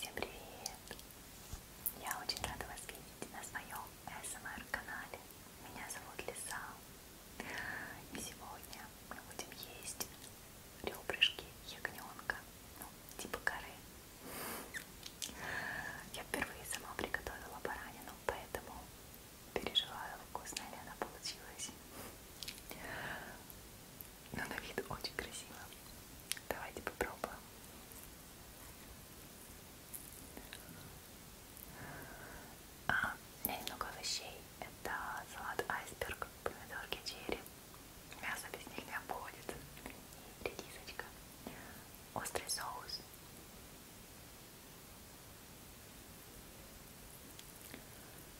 Всем привет! Я очень рада вас видеть на своем СМР-канале. Меня зовут Лиса. И сегодня мы будем есть ребрышки ягненка, ну, типа коры. Я впервые сама приготовила баранину, поэтому переживаю, вкусная ли она получилась. Но на вид очень красиво. Давайте попробуем. А, у меня немного овощей. Это салат айсберг, помидорки черри, Мясо без них не обходится. И редисочка. Острый соус.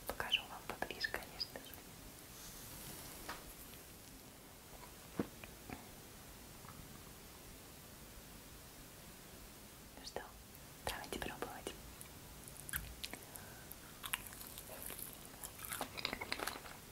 Покажу вам поближе, конечно же. Ну что, давайте пробовать.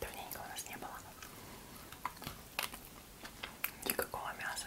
Давненько у нас не было никакого мяса.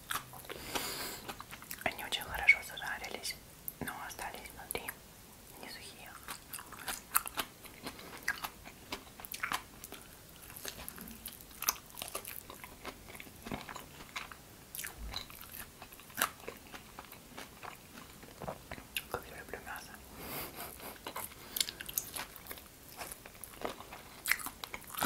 Они очень хорошо зажарились, но остались внутри не сухие. Как я люблю мясо.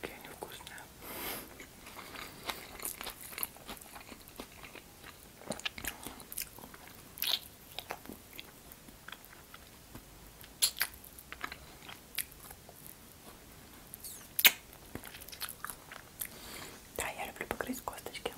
Какие они вкусные. Да, я люблю покрыть косточки.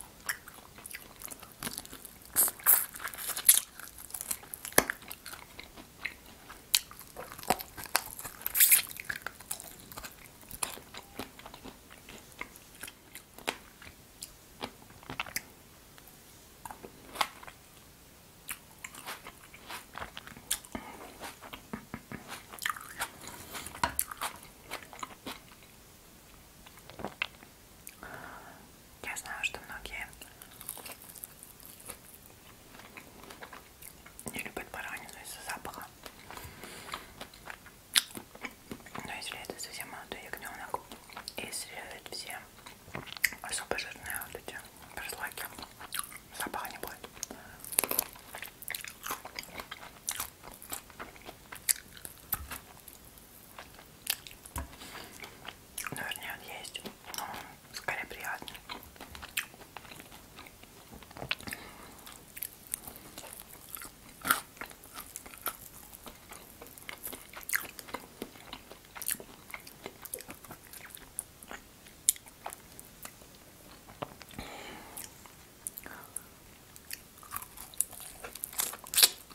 Я знаю, что многие не любят баранину из-за запаха. Но если это совсем молодой ягненок, и срезать все особо жирные вот эти прослойки, запаха не будет. Ну, вернее, он есть, но он скорее приятный.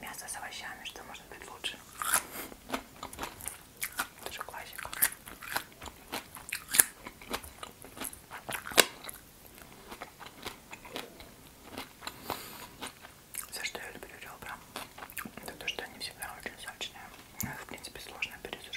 Мясо с овощами, что может быть лучше? Это же классика. Все, что я люблю ребра, это то, что они всегда очень сочные. Но ну, их, в принципе, сложно пересушить.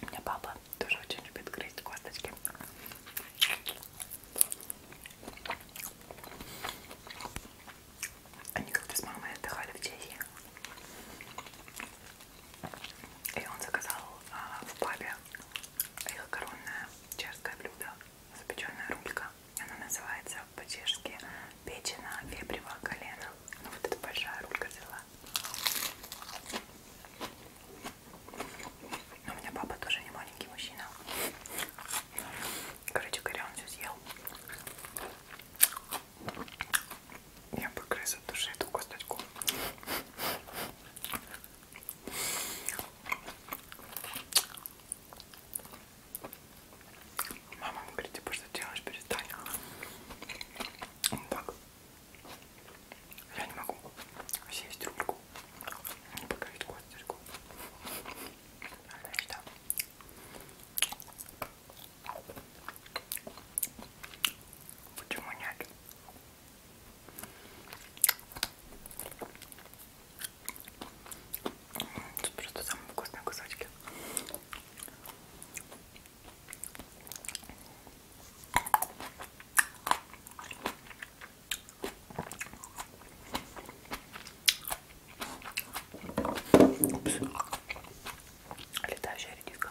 У меня папа тоже очень любит грызть косточки. Они как-то с мамой отдыхали в Чехии. И он заказал а, в папе их коронное чешское блюдо запеченная рулька. Она называется по-чешски печена вепрево колено. Ну, вот эта большая рулька взяла. Но у меня папа тоже не маленький мужчина. Короче говоря, он все съел. Я погрыз от души эту косточку. Мама ему говорит, типа, что делаешь, перестань. Он так. Я не могу съесть рульку. Не покрыть косточку. Значит, да. Почему нет? Тут просто самые вкусные кусочки. Упс. Летающая редиска.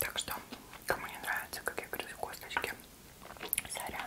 Так что, кому не нравится, как я говорю, косточки, сорян.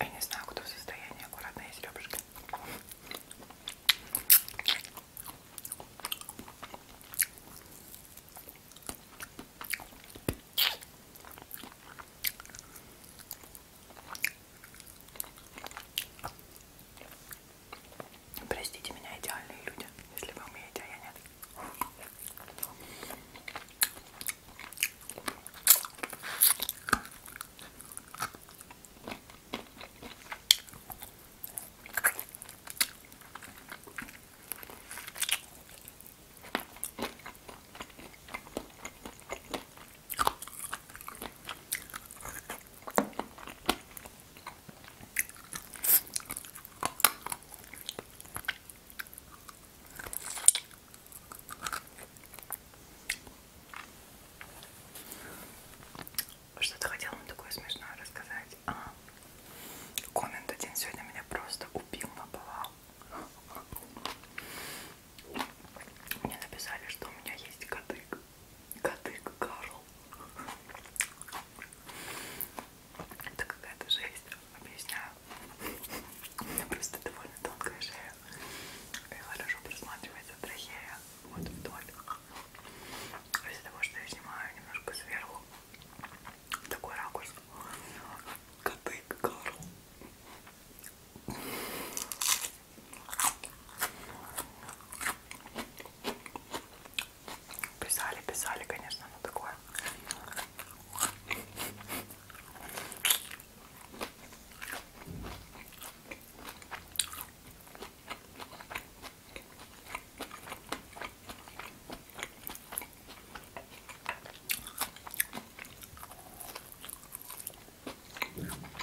Я не знаю, кто в состоянии аккуратные серебрышки. Простите меня, идеальные люди, если вы умеете, а я нет. Что-то хотела вам такое смешное рассказать. А, коммент один сегодня меня просто убил, наповал. Мне написали, что у меня есть кадык. Кадык Карл. Это какая-то жесть, объясняю. У меня просто довольно тонкая шея. И хорошо просматривается трахея. Вот вдоль. Из-за того, что я снимаю немножко сверху. Такой ракурс. Кадык Карл. Писали, писали, конечно, но ну, такое.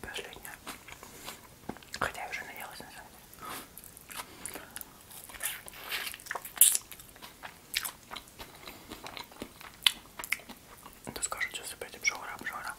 Последняя. Хотя я уже наелась на самом деле. Ну скажут, сейчас опять обжора, обжора.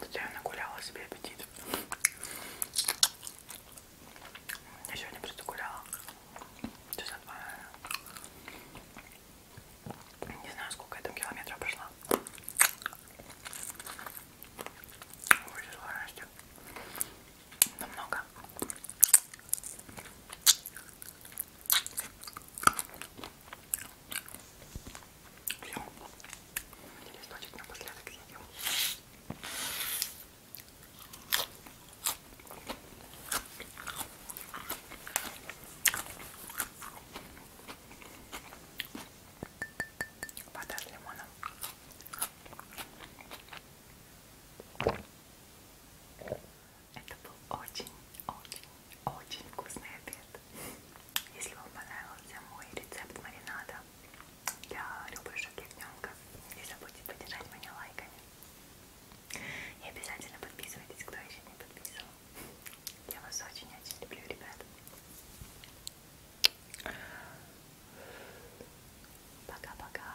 Хотя я нагуляла себе аппетит. Я сегодня просто гуляла. Часа два, Не знаю, сколько я там километров прошла. Больше сложности. Намного. Все. Листочек напоследок съедим. Вода с лимоном. Это был очень-очень-очень вкусный обед. Если вам понравился мой рецепт маринада для ребрышек ягненка, не забудьте поддержать меня лайками. И обязательно подписывайтесь, кто еще не подписан. Я вас очень-очень люблю, ребята. Пока-пока.